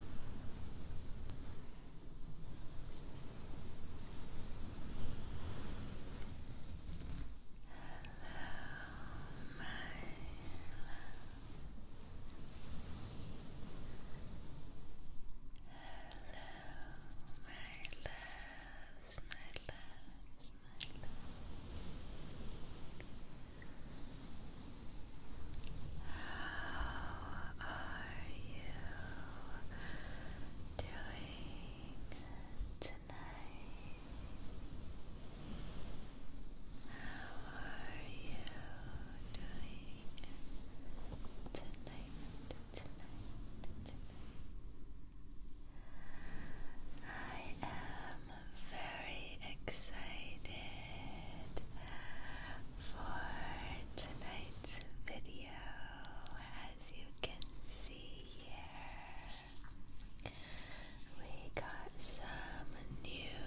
Hello, my Hello, my loves, my loves, my loves. How are you doing tonight? How are you doing tonight? Tonight, tonight. I am very excited for tonight's video. As you can see here, we got some new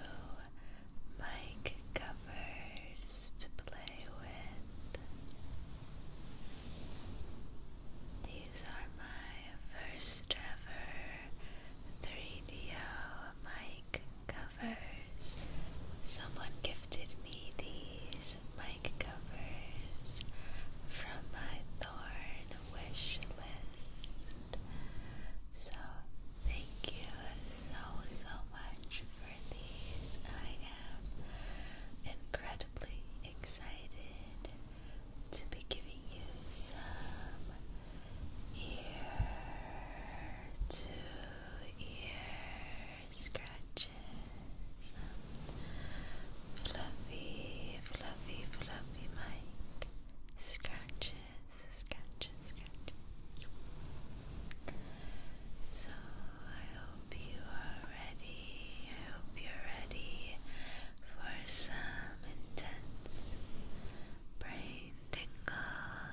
mic covers to play with. These are my first ever 3DO mic covers. Someone gifted me these mic covers from my Thorn wish So, thank you so, so much for these. I am incredibly excited to be giving you some ear to ear scratches. Fluffy, fluffy, fluffy mic. Scratches, scratches, scratches. So I hope you are ready. I hope you're ready for some intense brain tingles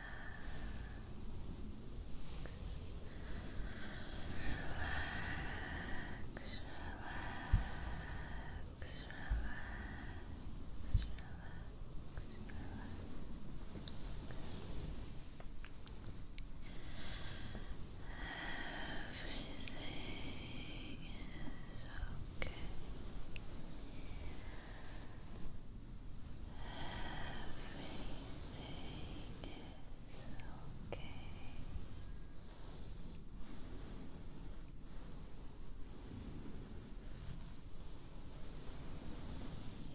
relax, relax, relax, relax. Everything is okay. Everything is okay.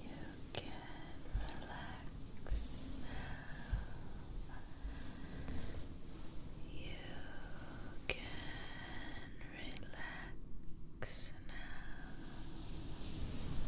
You can relax now. You can and relax now. Relax.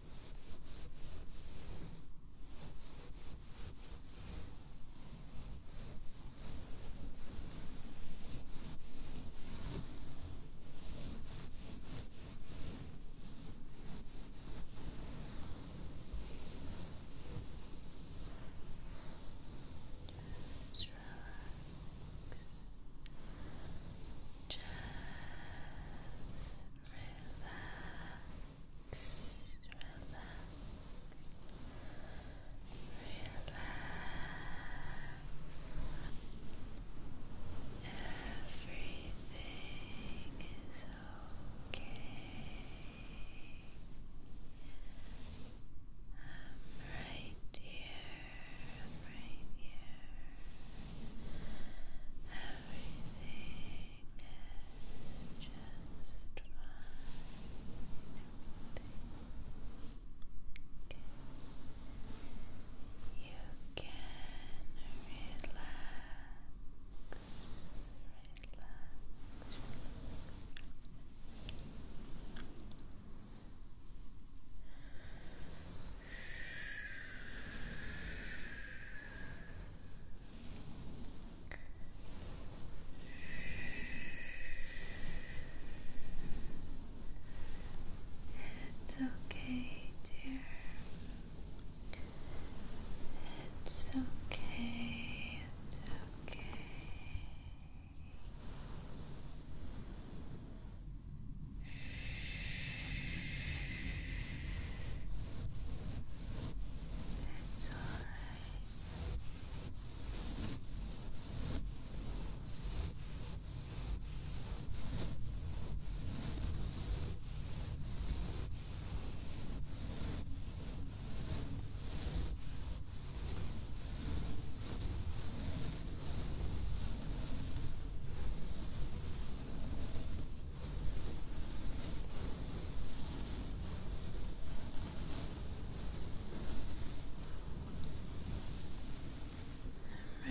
Just relax. Just relax, relax, relax. Everything is okay. I'm right here, I'm right here. Everything is just fine. You can relax, relax. It's okay, dear. It's okay. It's okay. It's all right.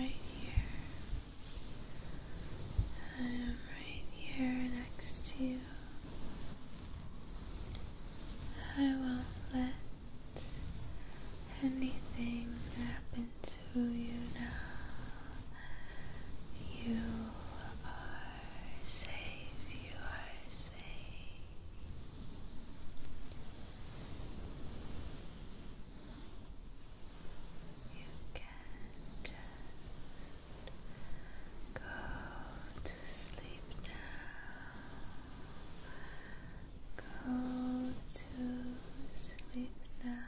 I'm right here. I am right here next to you. I won't let anything happen into you now. You are safe, you are safe. You can just go to sleep now. Go to sleep now.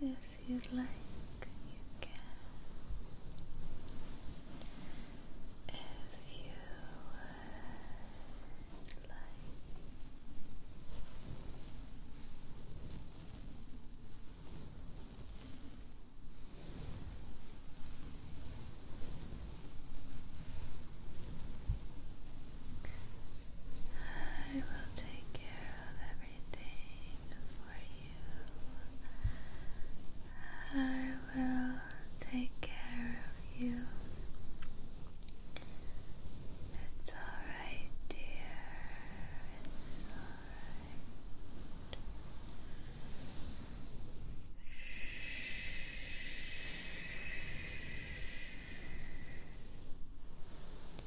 If you'd like, you can. If you would like. I will take care of everything for you. I will take care of you. It's alright, dear. It's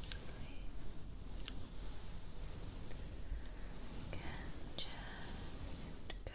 sleep, you can just go to sleep now.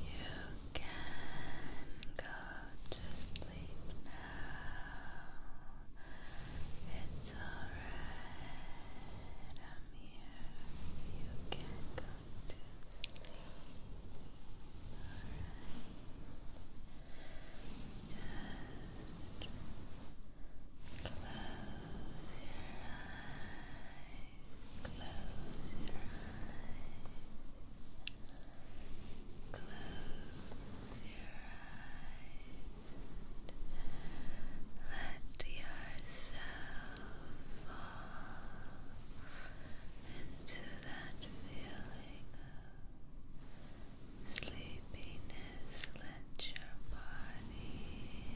You can go to sleep now. It's alright. I'm here. You can go to sleep. Alright. Just Close your eyes. Close your eyes and let yourself fall into that feeling of sleepiness let your body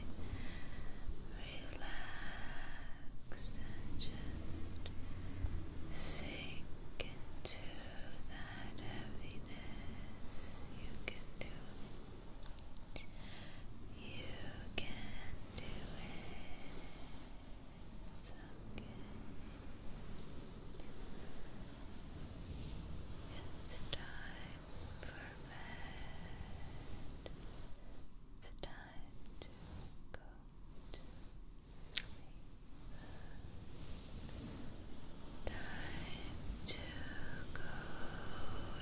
relax and just sink into that heaviness. You can do it. You can do it. It's okay. It's time Perfect. It's time to go to sleep. Time to go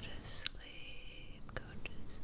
to sleep. Go to sleep.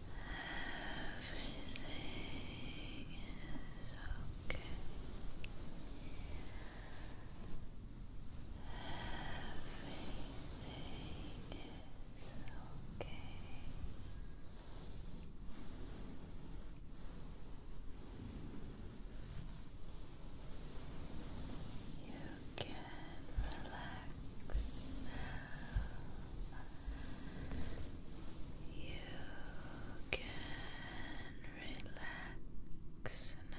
Everything is okay. Everything is okay. You can relax now. You can relax now.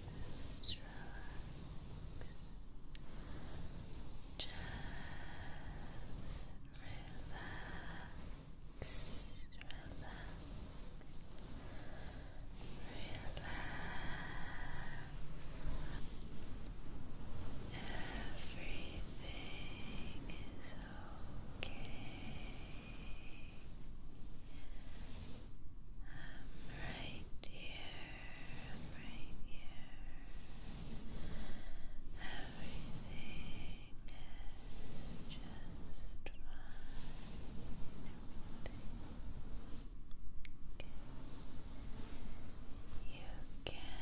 Just relax. relax. Relax. Relax. Everything is okay. I'm right here, I'm right here. Everything is just fine. You can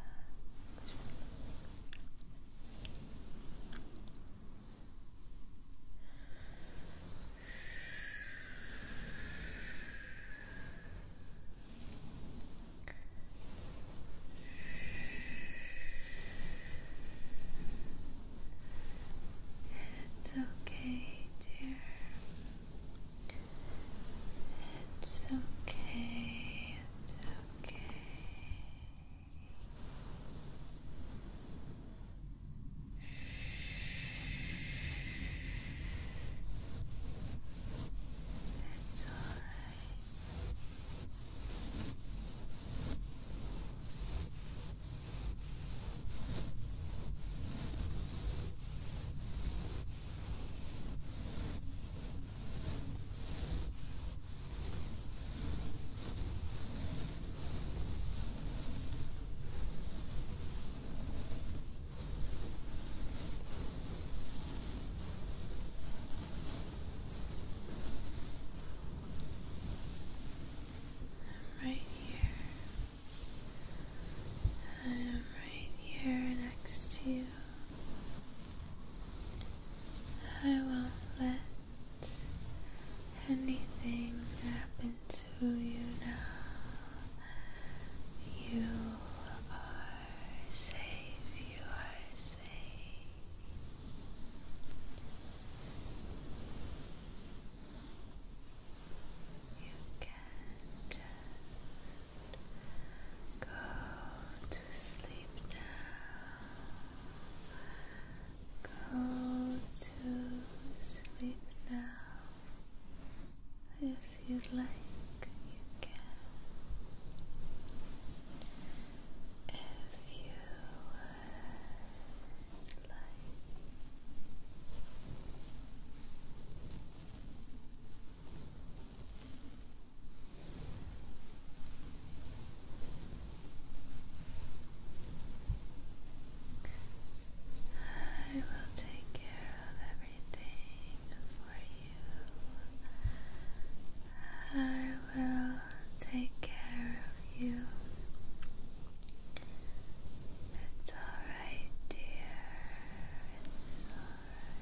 relax. relax. It's okay, dear. It's okay. It's okay. It's all right. I'm right here. I am right here next to you. I won't let anything happen to you now. You are safe, you are safe. You can just go to sleep now. Go to sleep now. If you would like, you can. If you would like. I will take care of everything for you. I will take care of you. It's alright, dear. It's alright.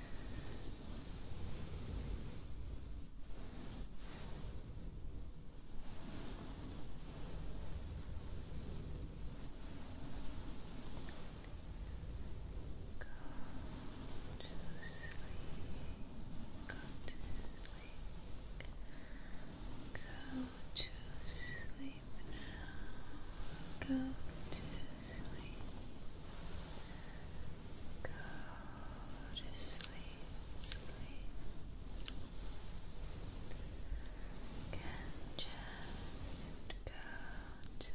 Go to sleep. Go to sleep. Go to sleep now. Go to sleep. Go to sleep, sleep, sleep. Can just go to sleep now.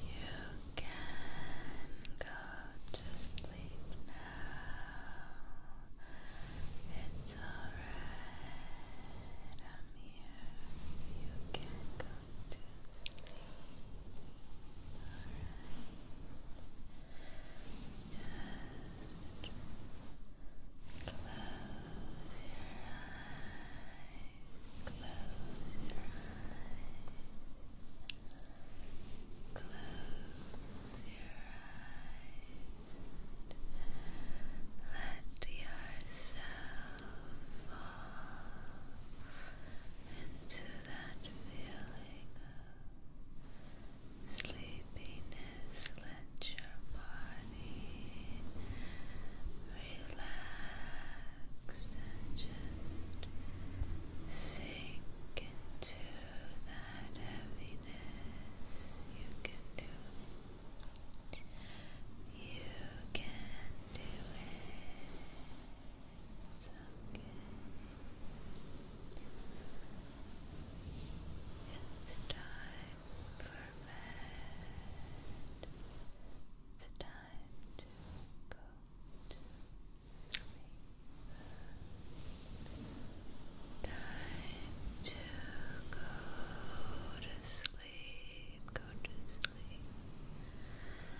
You can go to sleep now. It's alright. I'm here. You can go to sleep. Alright. Just close your eyes. Close your eyes. Close your eyes. Let yourself fall into that feeling of sleepiness, let your body relax and just sink into that heaviness. You can do it. You can do it. It's okay. It's time for bed. It's time to go to sleep. Time to go to sleep. Go to sleep.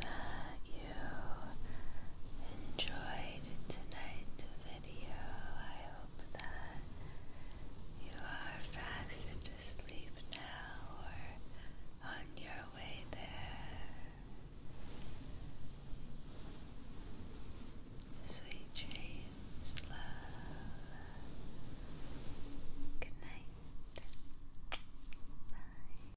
that you enjoyed tonight's video. I hope that you are fast asleep now or on your way there. Sweet dreams, love. Good night. Bye.